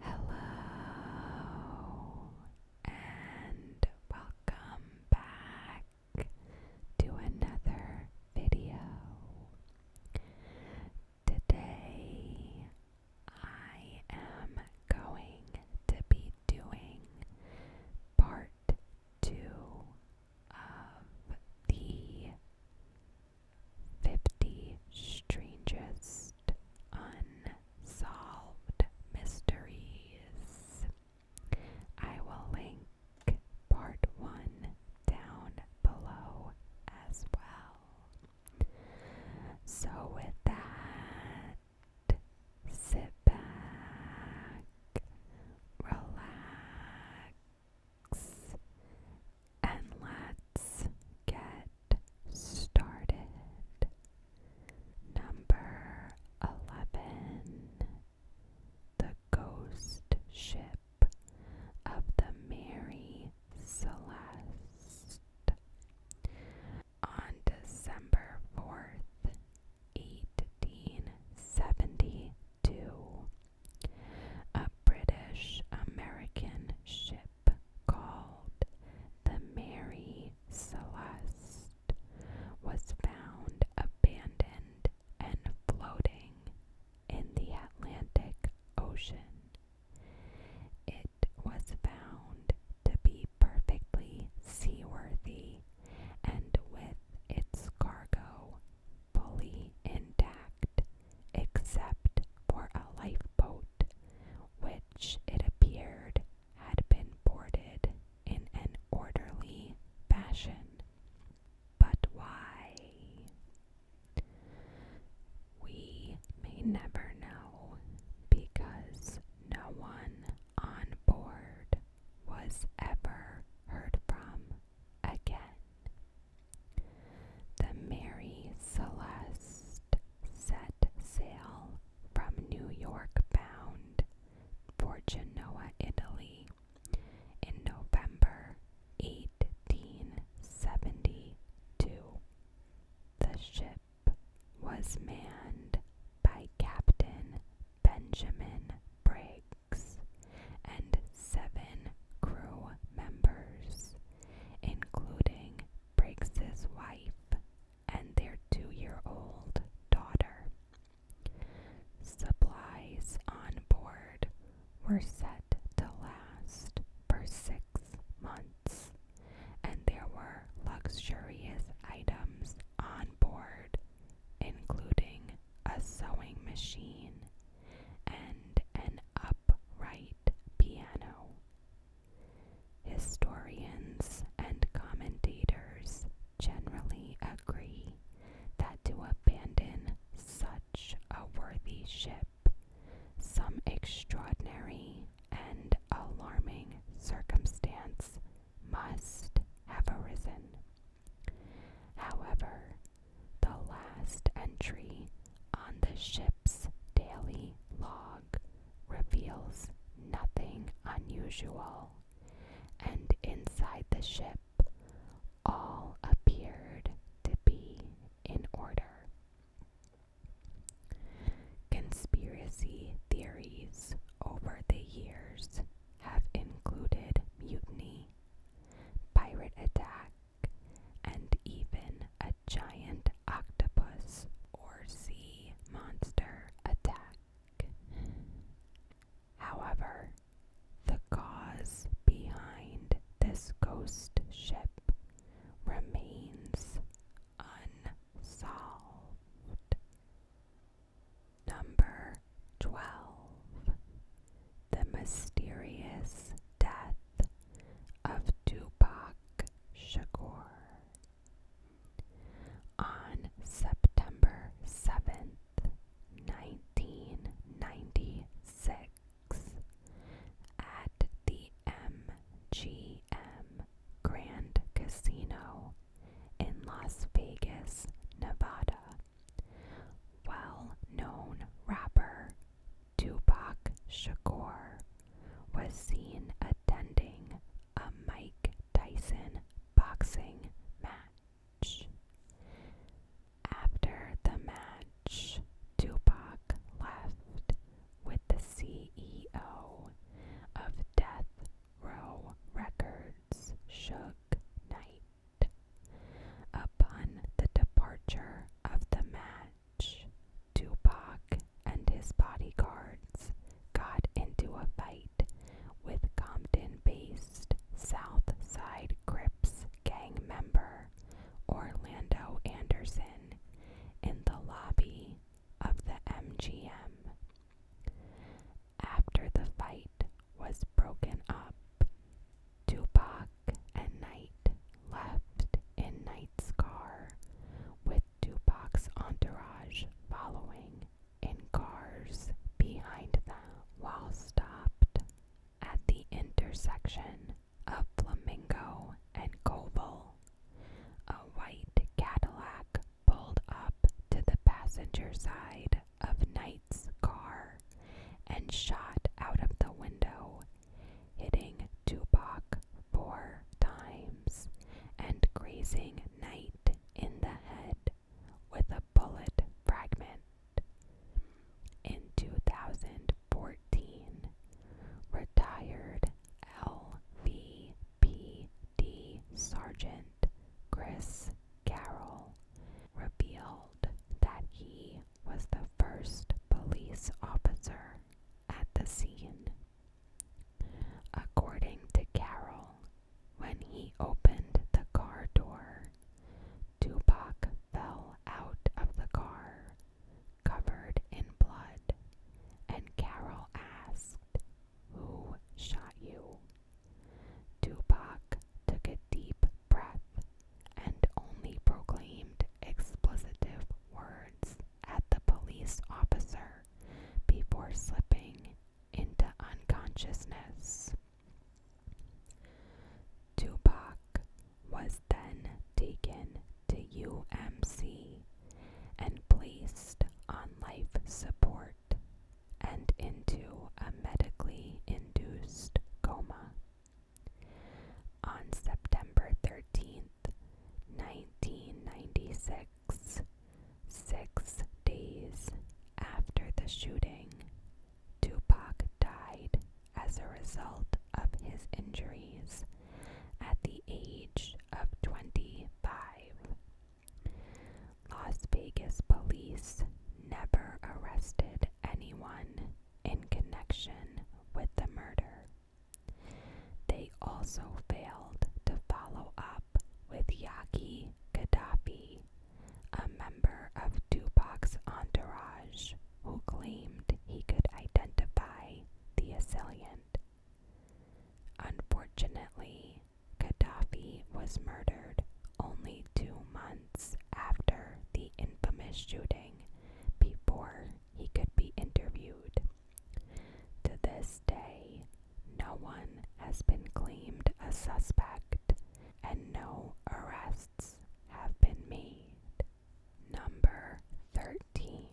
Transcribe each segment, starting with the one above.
Hello and welcome back to another video. Today I am going to be doing part two of the 50 Strangest Unsolved Mysteries. I will link part 1 down below as well. So, with that, sit back, relax, and let's get started. Number 11 The Ghost Ship of the Mary Celeste. On December 4th, 1872, a British American ship called the Mary Celeste was found abandoned and floating in the Atlantic Ocean. It was found to be perfectly seaworthy and with its cargo fully intact, except for a lifeboat which it appeared had been boarded in an orderly fashion. But why? We may never know because no one on board was ever heard from again. The Mary Celeste set sail from New York bound for Genoa, Italy in November 1872. The ship was manned by Captain Benjamin Briggs and seven crew members, including Breaks his wife and their two-year-old daughter. Supplies on board were set to last for six months, and there were luxurious items on board, including a sewing machine and an upright piano Historians and commentators generally agree that to abandon such a worthy ship, some extraordinary and alarming circumstance must have arisen. However, the last entry on the ship's daily log reveals nothing unusual, and inside the ship, all appeared to be in order. Conspiracy theories over the years have included mutiny, pirate attack, and even a giant octopus or sea monster attack. However, the cause behind this ghost ship remains unsolved. Number 12 The Mysterious Death of Tupac Shagor. On September 7th, 1996, at the MGM Grand Casino in Las Vegas, Nevada, well known rapper Tupac Shakur was seen attending a Mike Tyson boxing match. After the match, Tupac left with the CEO of Death Row Records, Suge Knight. Upon the departure of the match, match, Tupac and his bodyguards got into a fight with Compton based Southside Crips gang member Orlando Anderson in the lobby of the MGM. After the fight was broken up, Tupac and night left in Knight's car, with Tupac's entourage following in cars behind them, while stopped at the intersection of Flamingo and Koval. A white Cadillac pulled up to the passenger side of Knight's car and shot out of the window hitting Tupac four times and grazing Knight in the head with a bullet fragment. In 2014, retired LVPD Sergeant Chris Carroll revealed that he was the first police officer at the scene. According to Carroll, when he opened the car door, Tupac fell out of the car, covered in blood, and Carroll asked, Who shot you? Tupac took a deep breath and only proclaimed explicitive words at the police officer before slipping into unconsciousness. Tupac was then taken to UMC and placed on life support and into a medically induced coma. On September 13th, 1996, six days after the shooting, Tupac died as a result of his injuries at the age of 25. Las Vegas police never arrested anyone in connection with the murder. They also failed to follow up with Yaki Gaddafi, a member of Tupac's entourage who claimed he could identify the assailant. Unfortunately, Gaddafi was murdered only two months after the infamous shooting before he could be interviewed. To this day, no one has been claimed a suspect and no arrests have been made. Number 13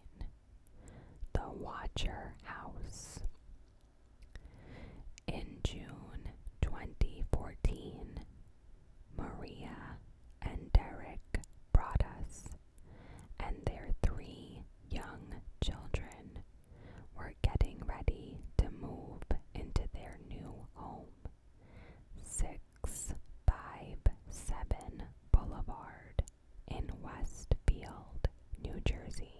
The Watcher House. In June 2014, Maria and Derek brought us and their three young children were getting ready to move into their new home, 657 Boulevard in Westfield, New Jersey.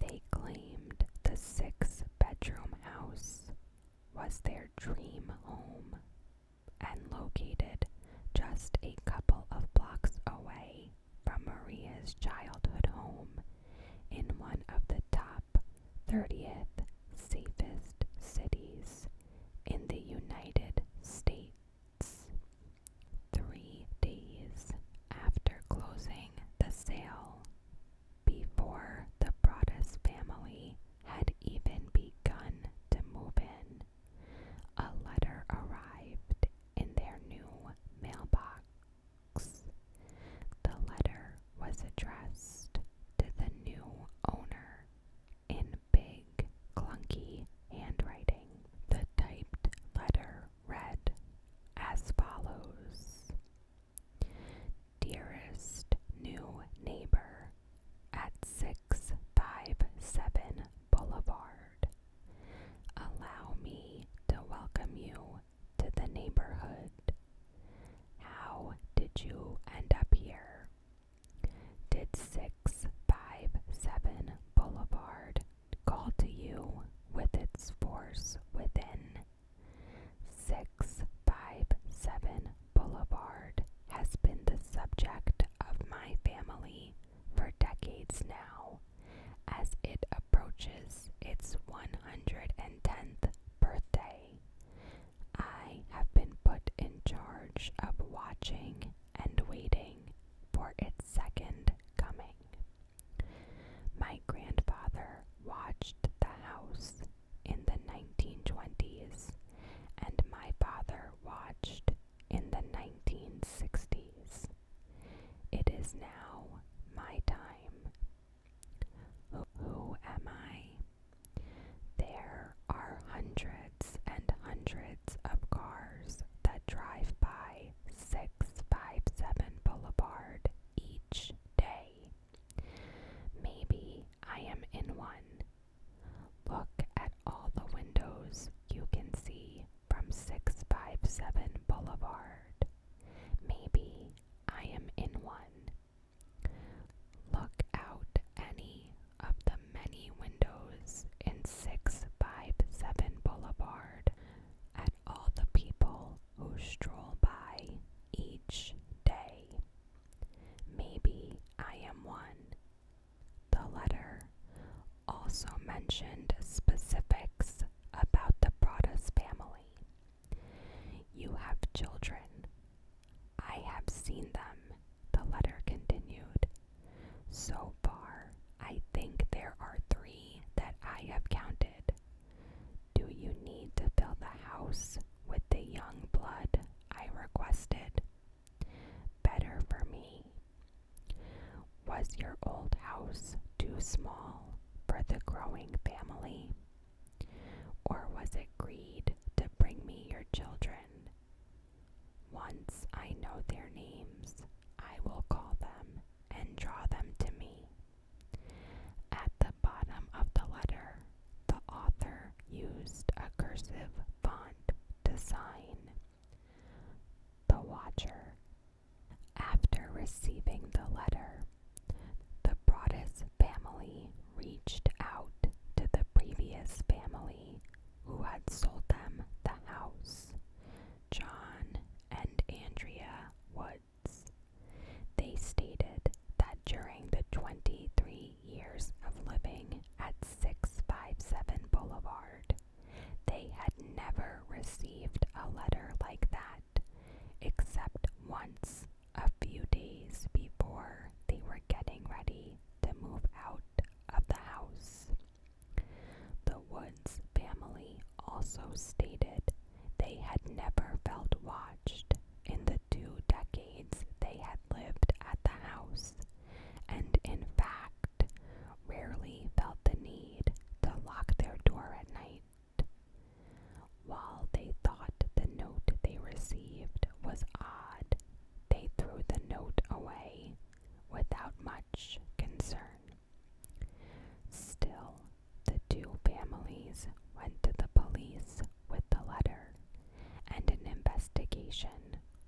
They claimed the six bedroom house was their dream home and located just a couple of blocks away from Maria's childhood home in one of the top 30th safest cities in the United States. Three days after closing the sale, before the Broaddus family had even begun to move in. A letter arrived in their new mailbox. The letter was addressed to the new owner in big, clunky handwriting. The typed letter read as follows dearest new neighbor at 657 Boulevard. Allow me to welcome you to the neighborhood. How did you end up here? Did 657 Boulevard call to you with its force within? 657 Boulevard has been the subject of my family for decades now as it approaches its 110th birthday. I have been put in charge of watching and waiting for its second coming. My grandfather watched the house in the 1920s and my father watched in the 1960s. It is now my time. Who, am I? There are hundreds and hundreds of cars that drive by 657 Boulevard each day. Maybe I am in one. Look at all the windows you can see from 657 Boulevard. Maybe I am in one. Look out any of the many windows in 657 Boulevard at all the people who stroll by each day. Maybe I am one. The letter also mentioned specifics about the Broadus family. You have children. I have seen them, the letter continued. So far, I think there are three that I have counted. Do you need to build the house with the young blood I requested, better for me. Was your old house too small for the growing family? Or was it greed to bring me your children? Once I know their names, I will call them and draw them to me. At the bottom of the letter, the author used a cursive font to sign. The Watcher. After receiving the letter, the Broadus family reached out to the previous family who had sold them the house, John and Andrea Woods. They stated that during the 23 years of living at 657 Boulevard. They had never received a letter like that, except once a few days before they were getting ready to move out of the house. The Woods family also stated they had never felt watched in the two decades they had lived at the house, and in fact, rarely felt the need to lock their door at night. While they thought the note they received was odd, they threw the note away without much concern. Still, the two families went to the police with the letter and an investigation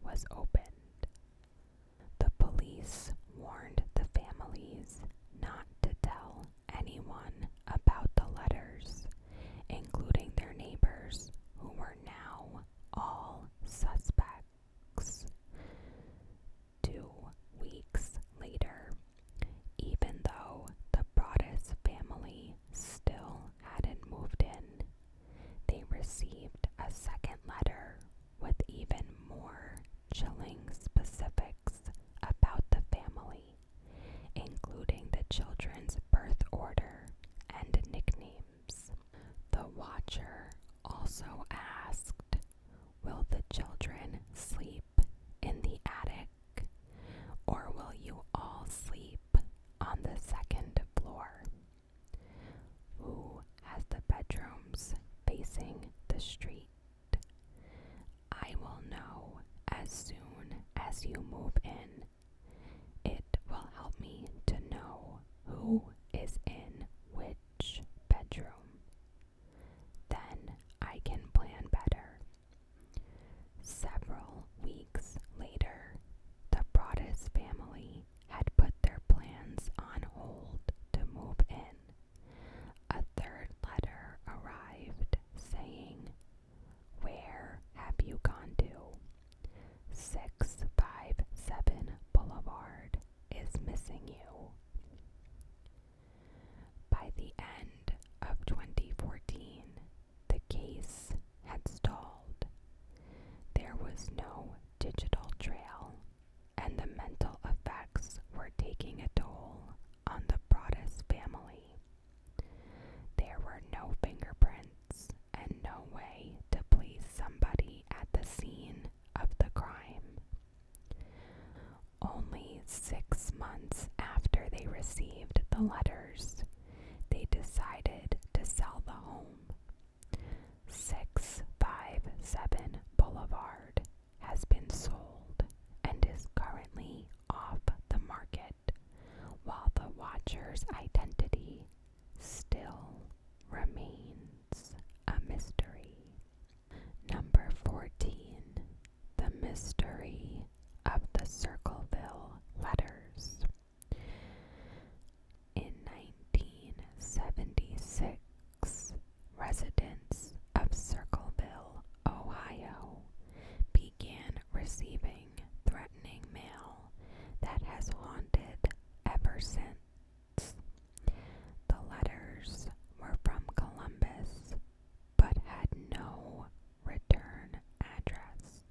was opened. The police warned the families not to tell anyone about the letters, including their neighbors, who were now all suspects. Two weeks later, even though the Broaddus family still hadn't moved in, they received a second letter with even more chilling specifics about the family, including the children's birth order and nicknames. The watcher also asked, Will the children sleep in the attic? Or will you all sleep on the second floor? Who has the bedrooms facing the street? I will know as soon as you move in. It will help me to know who is in which bedroom. Then I can plan better. Several weeks later, the Broaddus family had put their plans on hold to move in. A third letter arrived saying, Where have you gone to? 657 Boulevard is missing you. By the end of 2014, the case had stalled. There was no digital trail, and the mental effects were taking a toll on the Broaddus family. There were no fingerprints and no way to place somebody at the scene of the crime. Only six months after they received the letters, they decided to sell the home. 657 Boulevard has been sold and is currently off the market, while the watcher's identity still remains a mystery. Number 14 The Mystery of the Circleville Letters. In 1976, residents of Circleville, Ohio, began receiving threatening mail that has haunted ever since. The letters were from Columbus but had no return address.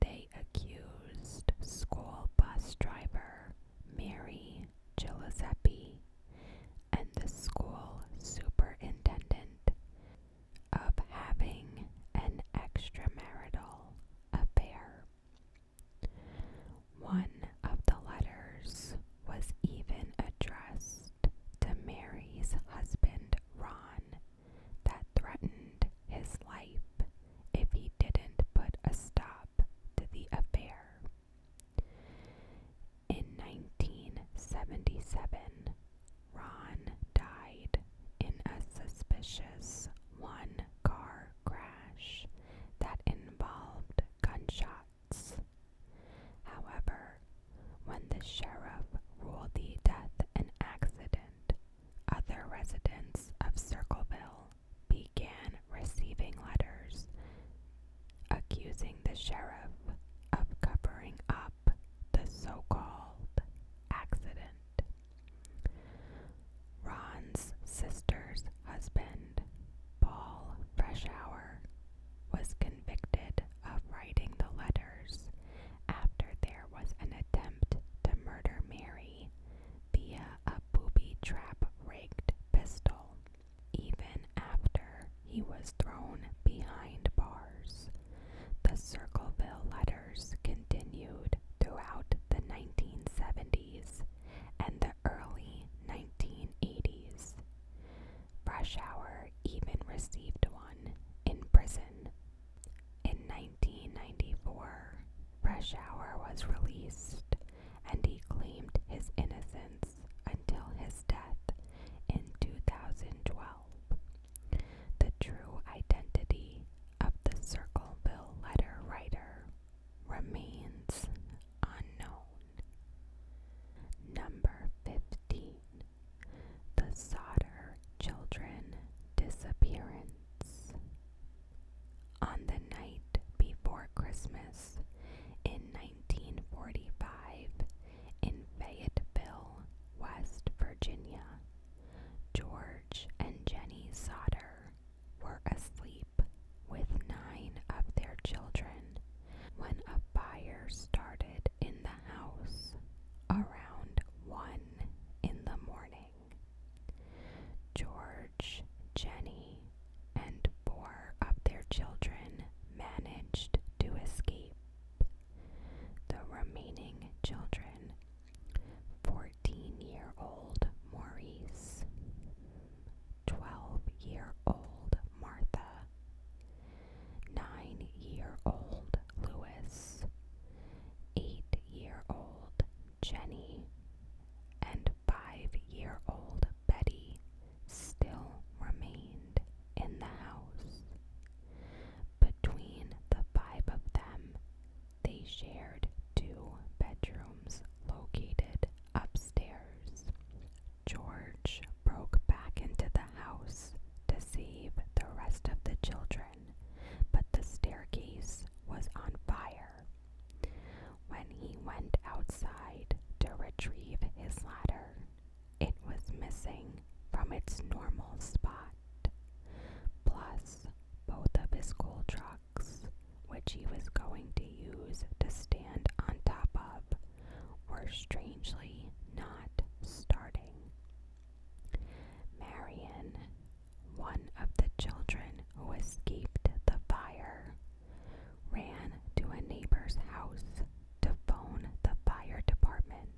They accused school bus driver Mary Giuseppe and the school superintendent of having an extramarital affair. One of the letters was even addressed to Mary's husband, Ron that threatened his life if he didn't put a stop to the affair. In 1977, Ron died in a suspicious one car crash that involved gunshots. However, when the sheriff ruled the death an accident, other residents of Circleville began receiving letters accusing the sheriff of covering up the so called accident. Ron's sister's husband, Paul Freshhour, was convicted of writing the letters after there was an attempt to murder Mary via a booby trap rigged pistol, even after he was thrown behind bars. The Circleville letters continued throughout the 1970s and the early 1980s. Brashauer even received one in prison. In 1994, Brashauer was released and he claimed his innocence until his death in 2012. The true identity of the Circleville letter writer remains unknown. Number 15 the Sodder Children Disappearance. On the night before Christmas in 1945, in Fayetteville, West Virginia, George and Jenny Sodder were asleep with nine of their children when a fire started in the house around one in the morning. George, Jenny, and four of their children managed to escape. The remaining children, 14 year old Maurice, 12 year old Martha, nine year old Louis, eight year old Jenny, and five year old Betty still remained in the house. Between the five of them, they shared two bedrooms located upstairs. George broke back into the house deceive the rest of the children, but the staircase was on fire. When he went outside to retrieve his ladder, it was missing from its normal spot. Plus, both of his coal trucks, which he was going to use to stand on top of, were strangely not starting. Marion, one of the children who escaped the fire, ran to a neighbor's house to phone the fire department,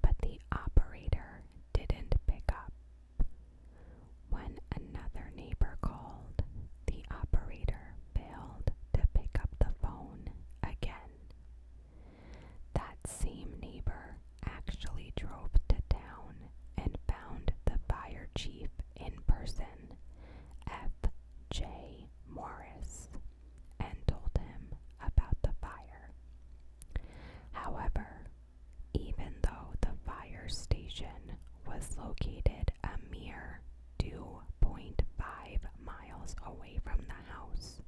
but the operator didn't pick up. When another neighbor called, the operator failed to pick up the phone again. That same neighbor actually drove to town and found the fire chief in person, F. J. Morris, and told him about the fire. However, even though the fire station was located a mere 2.5 miles away from the house,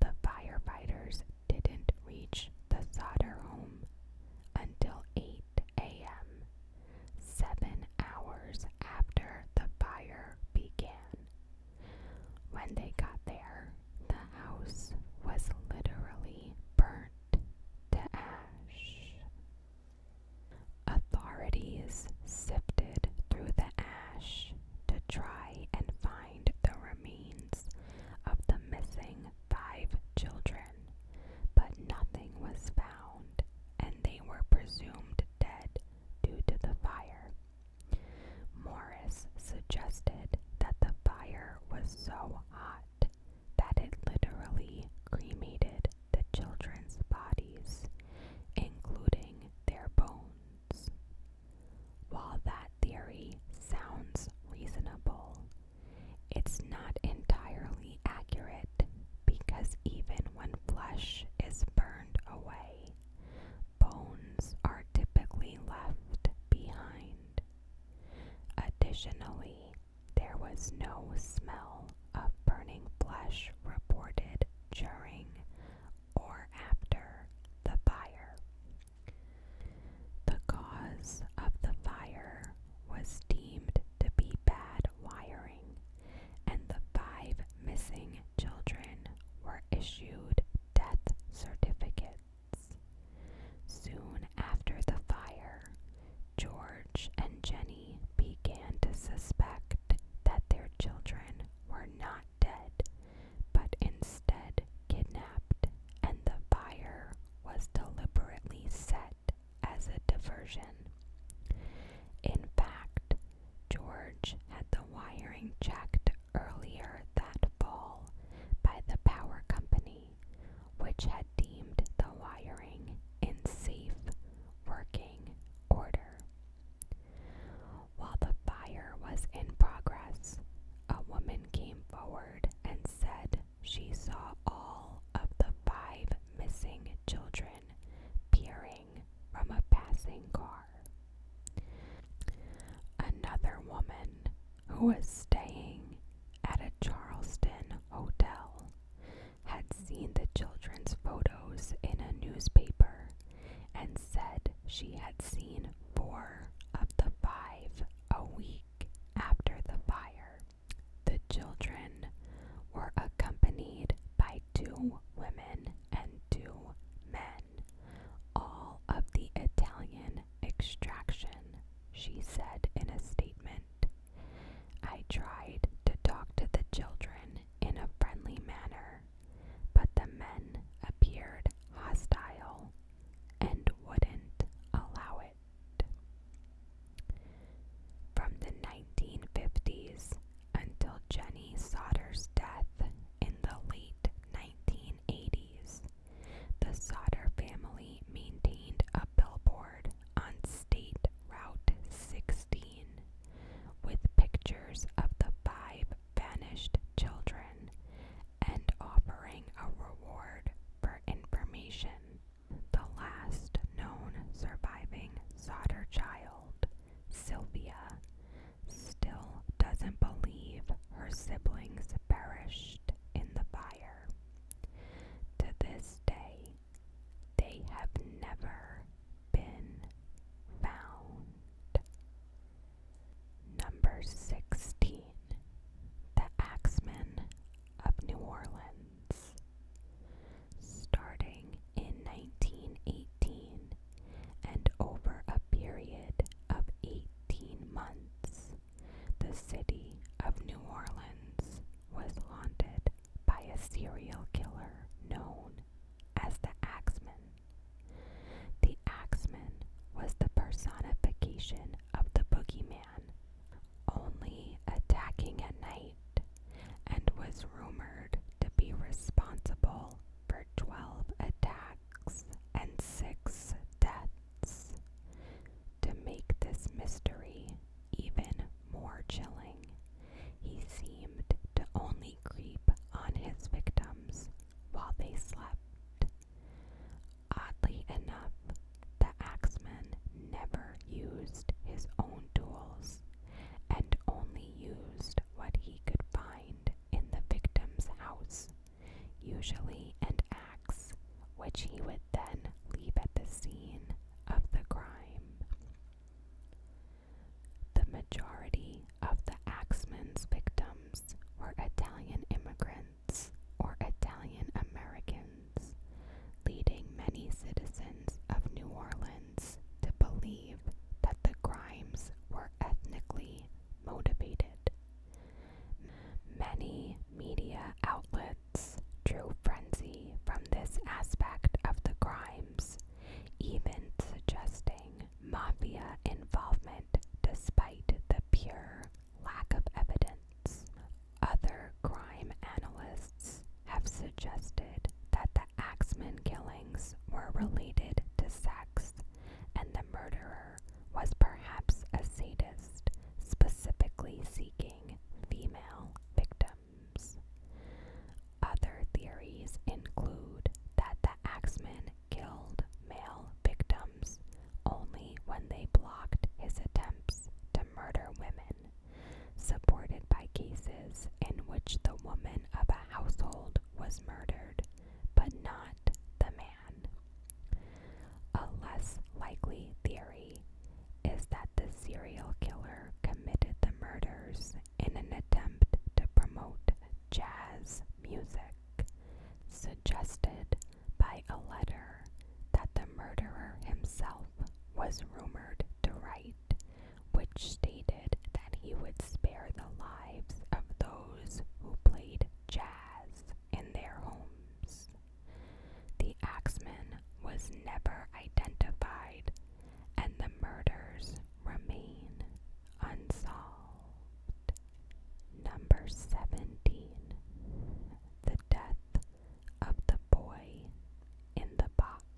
the firefighters didn't reach the Sauter home until 8 a.m., seven hours after the fire began. When they got there, the house was literally burnt to ash. Authorities sifted through the ash to try and find the remains of the missing five children, but nothing was found, and they were presumed dead due to the fire. Morris suggested that the fire was so hot that it literally cremated the children's bodies, including their bones. While that theory sounds reasonable, it's not entirely accurate because even when flesh is burned away, bones are typically left behind. Additionally, there was no smell of burning flesh reported during or after the fire. The cause of the fire was deemed to be bad wiring, and the five missing children were issued death certificates. Soon after the fire, George and Jenny began to suspect that their children were not dead but instead kidnapped, and the fire was deliberately set as a diversion. In fact, George had the wiring checked earlier that fall by the power company, which had deemed the wiring in safe working order. While the fire was in progress, a woman came forward and said she saw all of the five missing children peering from a passing car. Another woman who was staying at a Charleston hotel had seen the children's photos in a newspaper and said she had seen four of the five a week after the fire. The children were accompanied by two women and two men, all of the Italian extraction, she said in a statement. I tried to talk to the children in a friendly manner but the men appeared hostile and wouldn't allow it. From the 1950s until Jenny Sauter's death in the late 1980s, the Sauter family maintained a billboard on State Route 16 with pictures of the five banished children and offering a reward for information. The last known surviving solder child, Sylvia, still doesn't believe her siblings perished in the fire. To this day, they have never been found. Number 16. The Axemen of New Orleans. Starting in 1918 and over a period of 18 months, the city of New Orleans was haunted by a serial killer known as the Axeman. The Axeman was the personification of the boogeyman, only attacking at night, and was rumored to be responsible for 12 attacks and 6 deaths. To make this mystery even more chilling, he seemed to only creep on his victims while they slept. Oddly enough, the axeman never used his own tools and only used what he could find in the victim's house, usually an axe, which he would then leave at the scene of the crime. The majority of the Axeman's victims were Italian immigrants or Italian Americans, leading many citizens of New Orleans to believe that the crimes were ethnically motivated. Many media outlets drew frenzy from this aspect of the crimes, even suggesting mafia involvement despite the pure lack of evidence. Other crime analysts have suggested that the Axeman killings were related to sex, and the murderer was perhaps a sadist, specifically seeking female victims. Other theories include that the Axeman killed male victims only when they blocked his attempts to murder women, supported by cases in which the woman of a household was murdered, but not the man. A less likely theory is that the serial killer committed the murders in an attempt to promote jazz music, suggested by a letter that the murderer himself was rumored to write, which stated that he would spare the lives of those who played jazz in their homes. The axeman was never identified, and the murders remain Unsolved. Number 17. The death of the boy in the box.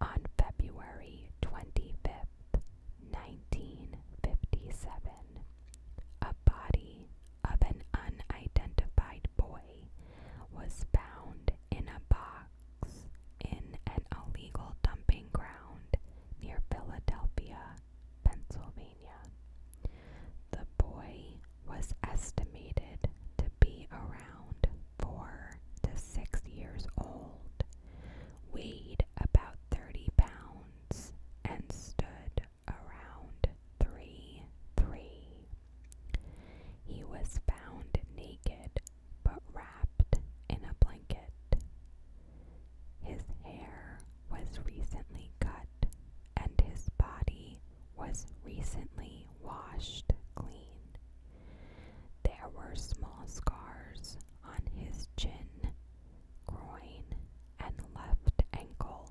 On February 25th, 1957, a body of an unidentified boy was found in a box in an illegal dumping ground near Philadelphia, Pennsylvania. The boy was estimated to be around four to six years old, weighed about 30 pounds, and stood around 3 3. He was found naked but wrapped in a blanket. His hair was recently cut, and his body was recently washed clean. There were small scars on his chin, groin, and left ankle,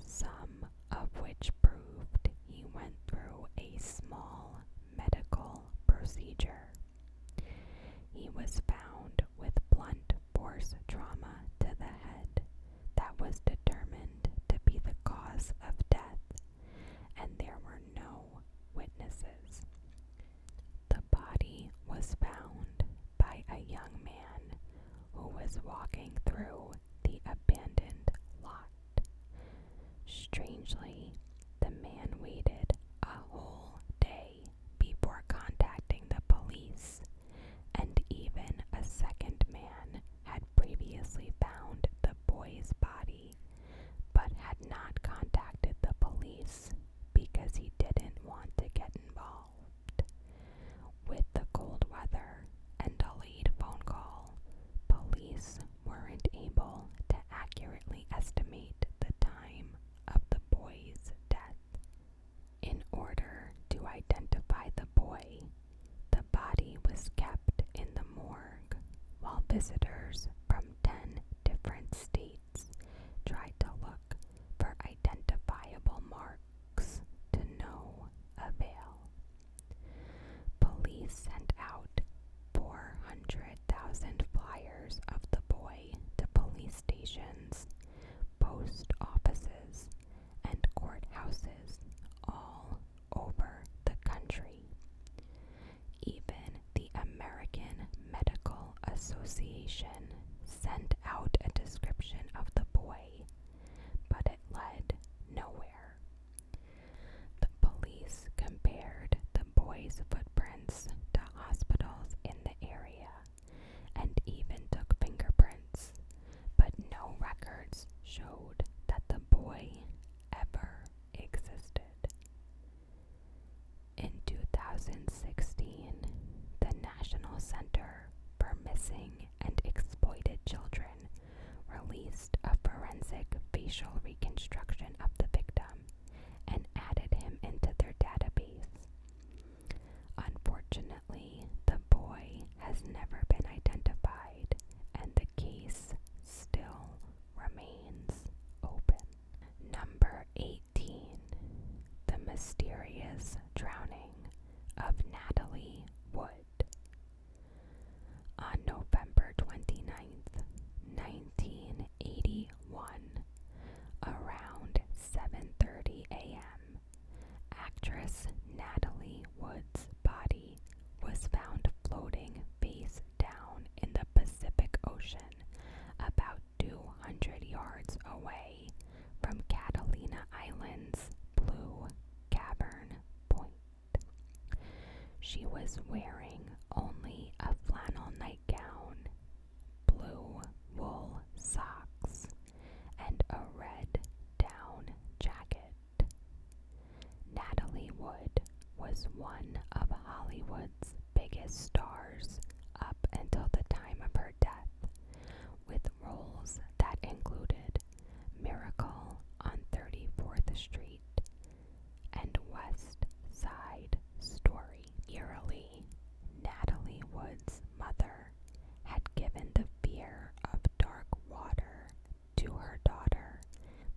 some of which proved he went through a small medical procedure. He was found with blunt force trauma to the head that was determined to be the cause of death, and there were no witnesses. The body was found by a young man who was walking through the abandoned lot. Strangely, the man waited a whole day before contacting the police, and even a second man had previously found the boy's body but had not contacted the police because he didn't want to get involved. With the cold weather and a late phone call, police weren't able to accurately estimate the time of the boy's death. In order to identify the boy, the body was kept in the morgue while visitors from 10 different states tried to look for identifiable marks to no avail. Police sent out 400,000 flyers of the boy to police stations, post offices, and courthouses all over the country. Even the American Medical Association sent out a description of the boy, but it led nowhere. The police compared the boys' footprints to hospitals in the area and even took fingerprints, but no records showed that the boy ever existed. In 2016, the National Center for Missing and Exploited Children released a forensic facial reconstruction of the victim and added him into their database. Unfortunately, the boy has never been identified and the case still remains open. Number 18 The Mysterious Drowning of Natalie Wood on November 29, 1981, around 7:30 a.m., actress Natalie Wood's body was found floating face down in the Pacific Ocean about 200 yards away from Catalina Island's Blue Cavern Point. She was wearing only a flannel nightgown, blue wool socks, and a red down jacket. Natalie Wood was one of Hollywood's biggest stars up until the time of her death, with roles that included Miracle on 34th Street and West Side Story. Eerily, Natalie Wood's mother had given the fear of dark water to her daughter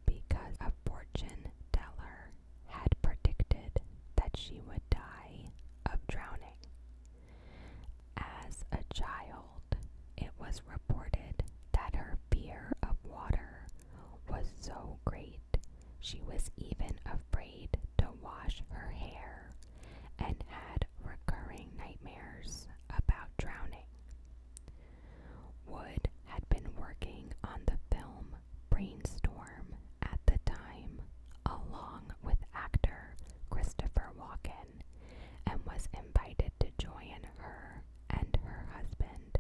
because a fortune teller had predicted that she would die of drowning. As a child, it was reported that her fear of water was so great, she was even afraid to wash her hair and had recurring nightmares about drowning. Wood had been working on the film Brainstorm at the time, along with actor Christopher Walken, and was invited to join her and her husband,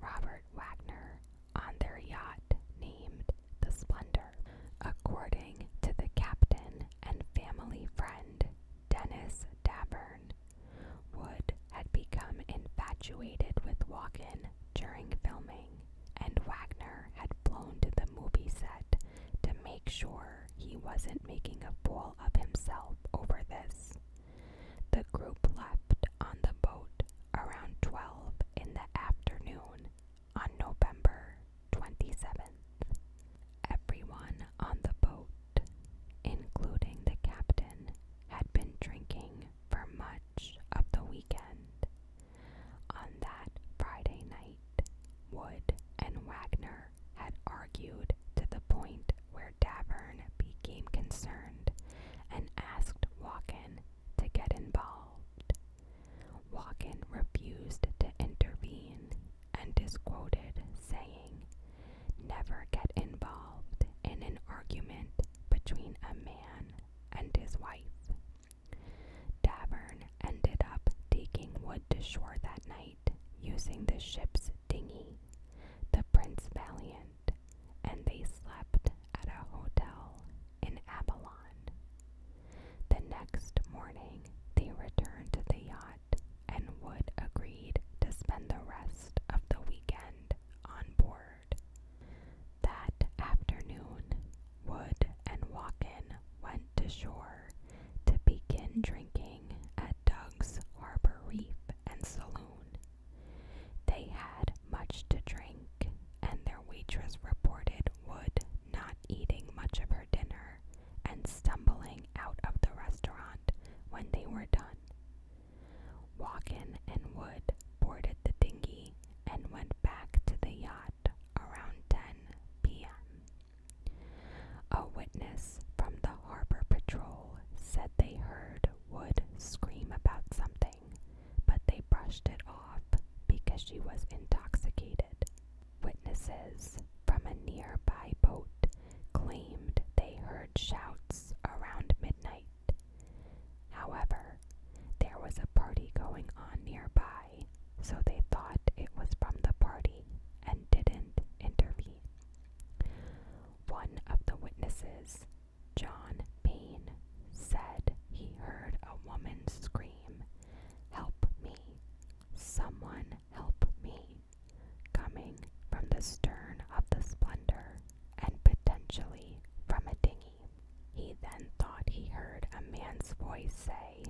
Robert Wagner, on their yacht named the Splendor. According to the captain and family friend Dennis Davern, Wood had become infatuated with Walken during filming, and Wagner had flown to the movie set to make sure he wasn't making a fool of himself over this. The group left on the boat around 12 in the afternoon on November 27th. Everyone on the boat, including the captain, had been drinking for much of the weekend. On that Friday night, Wood and Wagner had argued to the point where Davern became concerned and asked Walken to get involved. Walken refused to intervene and disquoted, saying, Never get involved in an argument between a man and his wife. Davern ended up taking Wood to shore that night using the ship's dinghy, the Prince Valiant and they slept at a hotel in Abalon. The next morning, they returned to the yacht, and Wood agreed to spend the rest of the weekend on board. That afternoon, Wood and Walken went to shore to begin drinking at Doug's Harbor Reef and Saloon. They had much to drink, and their waitress reported would not eating much of her dinner and stumbling out of the restaurant when they were done. Walken and Wood boarded the dinghy and went back to the yacht around 10 p.m. A witness from the harbor patrol said they heard would scream about something, but they brushed it off because she was intoxicated. Witnesses from a nearby boat claimed they heard shouts around midnight. However, there was a party going on nearby, so they thought it was from the party and didn't intervene. One of the witnesses John Payne said he heard a woman scream, Help me! Someone help me! coming from the stern of the Splendor and potentially from a dinghy. He then thought he heard a man's voice say,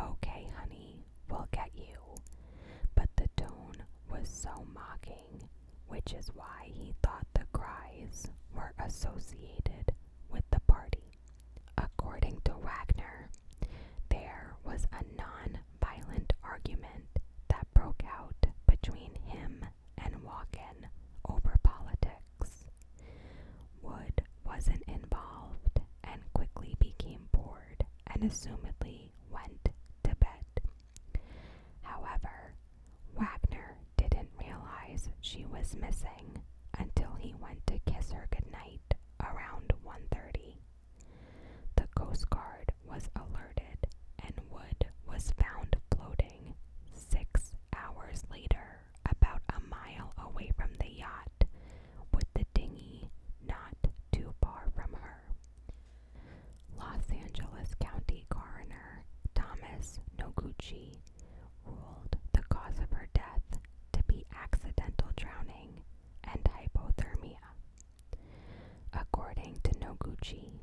Okay, honey, we'll get you. But the tone was so mocking which is why he thought the cries were associated with the party. According to Wagner, there was a non violent argument that broke out between him and Walken over politics. Wood wasn't involved and quickly became bored and assumedly went to bed. However, Wagner didn't realize she was missing until he went to kiss her goodnight around 1:30. The Coast Guard was alerted and Wood was found floating 6 hours later about a mile away from the yacht with the dinghy not too far from her. Los Angeles County Coroner Thomas Noguchi ruled the cause of her death to be accidental drowning and hypothermia. According to Noguchi,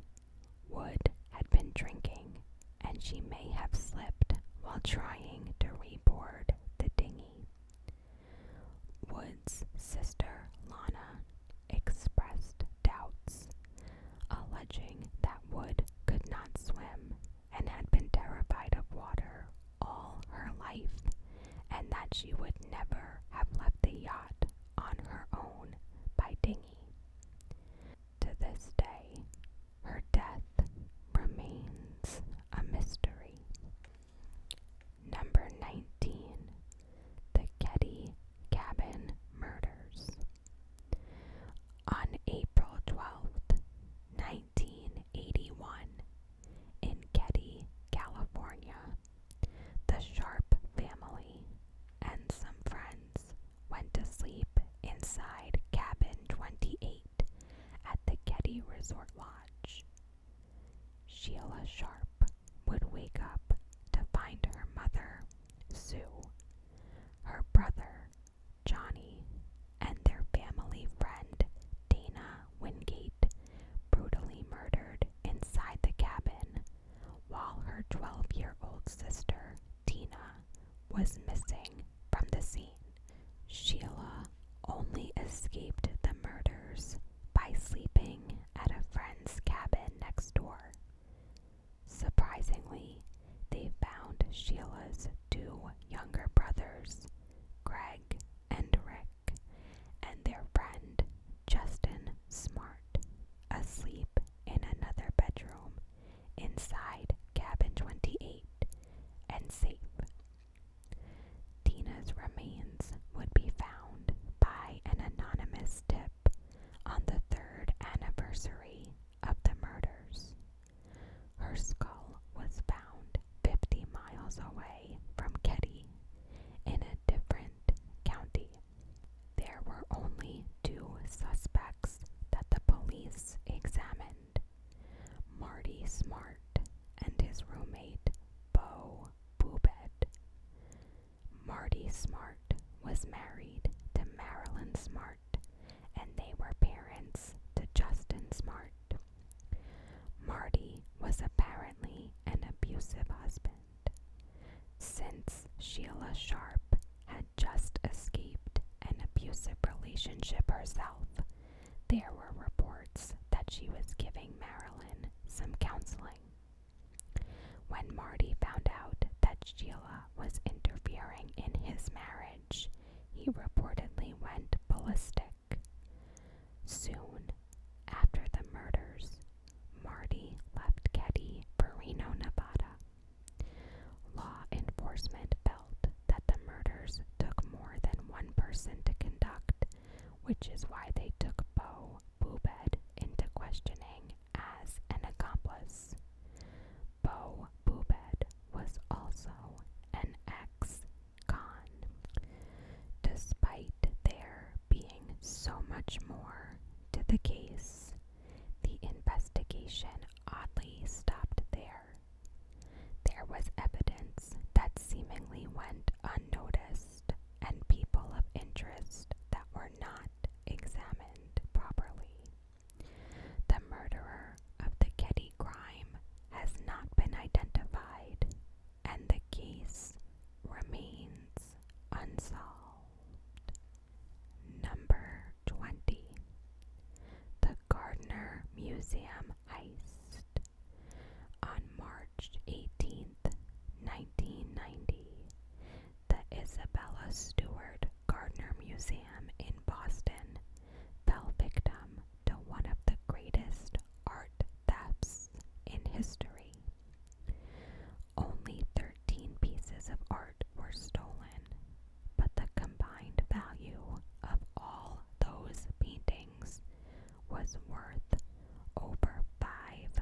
Wood had been drinking and she may have slipped while trying to reboard the dinghy. Wood's sister, Lana, expressed doubts, alleging that Wood could not swim and had been terrified of water all her life, and that she would never have left the yacht on her own by dinghy. To this day, her death remains a mystery. Number 19. The Ketty Cabin Murders. On April 12th, 1981, in Getty, California, the Sharp family and some friends went to sleep inside Cabin 28 at the Getty Resort Lodge. Sheila Sharp would wake up to find her mother, Sue, her brother, Johnny, and their family friend, Dana Wingate, brutally murdered inside the cabin, while her 12 year old sister, Tina, was missing from the scene. Sheila only escaped the murders by sleeping at a friend's cabin next door. Surprisingly, they found Sheila's two younger brothers, Greg and Rick, and their friend, Justin Smart, asleep in another bedroom inside cabin 28 and safe. Tina's remains would be found by an anonymous tip on the third anniversary of the murders. Her skull was found 50 miles away from Ketty in a different county. There were only two suspects that the police examined Marty Smart and his roommate, Bo Boobed. Marty Smart was married to Marilyn Smart, and they were parents to Justin Smart. Marty was apparently an abusive husband. Since Sheila Sharp had just escaped an abusive relationship herself, there were reports that she was giving Marilyn some counseling. When Marty found out that Sheila was interfering in his marriage, he reportedly went ballistic. Soon after the murders, Marty left Getty for Reno, Nevada. Law enforcement felt that the murders took more than one person to conduct, which is why they took Beau Boobed into questioning as an accomplice. Bo Bubed was also an ex-con. Despite there being so much more to the case, the investigation oddly stopped there. There was evidence that seemingly went unnoticed and people of interest that were not examined properly. The murderer of the Kitty crime has not been identified, and the case remains unsolved. Number 20. The Gardner Museum Heist. On March 18, 1990, the Isabella Stewart Gardner Museum in Boston fell victim to one of the greatest art thefts in history. Only 13 pieces of art were stolen, but the combined value of all those paintings was worth over $500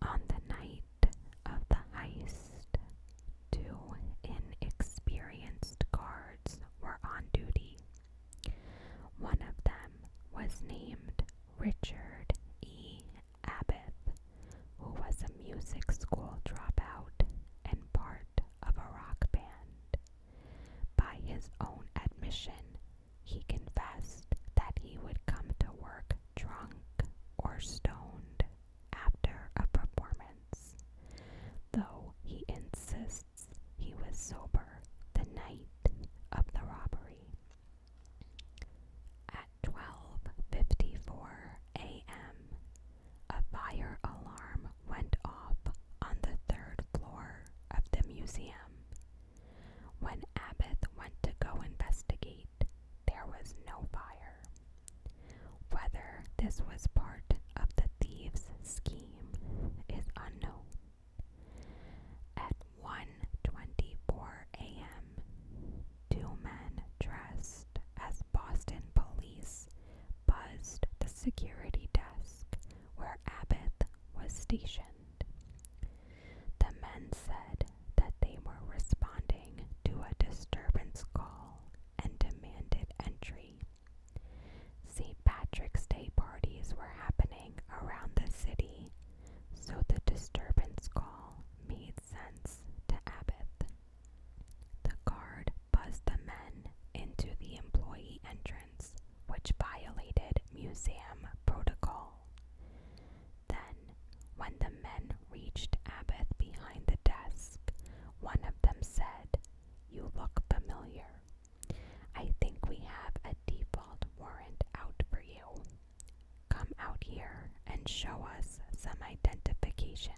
on the night of the heist, two inexperienced guards were on duty. One of them was named Richard E. Abbott, who was a music school dropout and part of a rock band. By his own admission, he confessed that he would come to work drunk or stoned after a performance, though he insists he was sober the night of the robbery. At 12:54 a.m., a fire alarm went off on the third floor of the museum. When Abbot went to go investigate, there was no fire. Whether this was part of the thieves' scheme is unknown. At 1:24 a.m., two men dressed as Boston police buzzed the security desk where Abbot was stationed. The men said that they were responding to a disturbance call and demanded entry. St. Patrick's Day parties were happening around the city, so the disturbance call made sense to Abbot. The guard buzzed the men into the employee entrance which violated museum protocol. Then, when the men reached Abbott behind the desk, one of them said, You look familiar. I think we have a default warrant out for you. Come out here and show us some identification.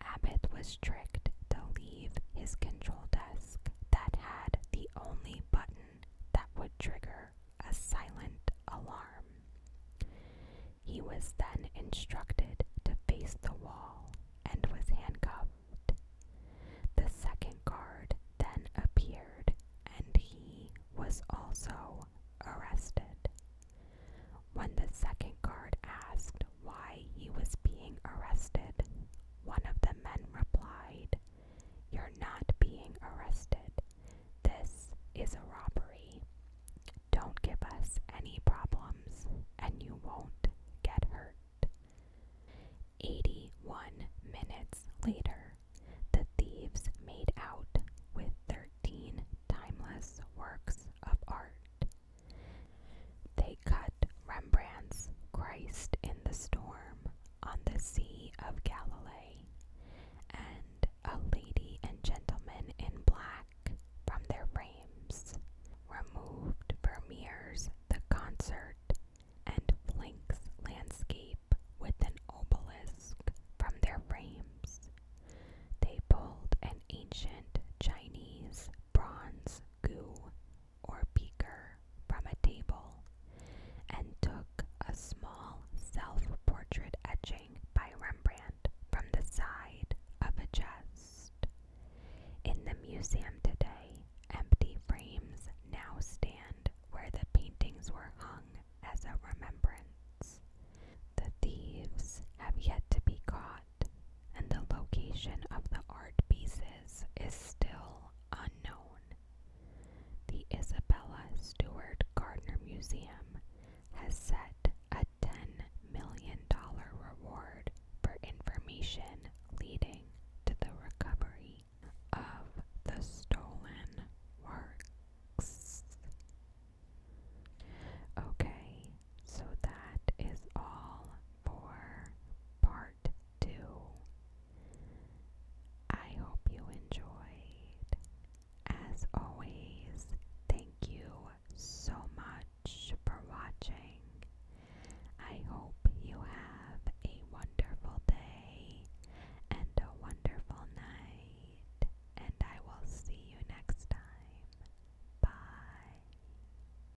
Abbott was tricked to leave his control desk that had the only button that would trigger a silent alarm. He was then instructed to face the wall and was handcuffed. The second guard then appeared and he was also arrested. When the second guard asked why he was being arrested. One of the men replied, You're not being arrested. This is a robbery. Don't give us any problems, and you won't get hurt. 81 minutes later, the thieves made out with 13 timeless works of art. They cut Rembrandt's Christ in the Storm on the Sea of Galilee and A Lady and Gentleman in Black from their frames, removed Vermeer's The Concert and Flink's Landscape with an obelisk from their frames. They pulled an ancient Chinese bronze goo or beaker from a table and took a small self portrait etching by Rembrandt from the side of a chest. In the museum today, empty frames now stand where the paintings were hung as a remembrance. The thieves have yet to be caught, and the location of the art pieces is still unknown. The Isabella Stewart Gardner Museum has set a $10 million reward for information leading to the recovery of the stolen works. Okay, so that is all for part part I hope you enjoyed. As always, thank you so much for watching. I hope you have a wonderful day and a wonderful night, and I will see you next time. Bye.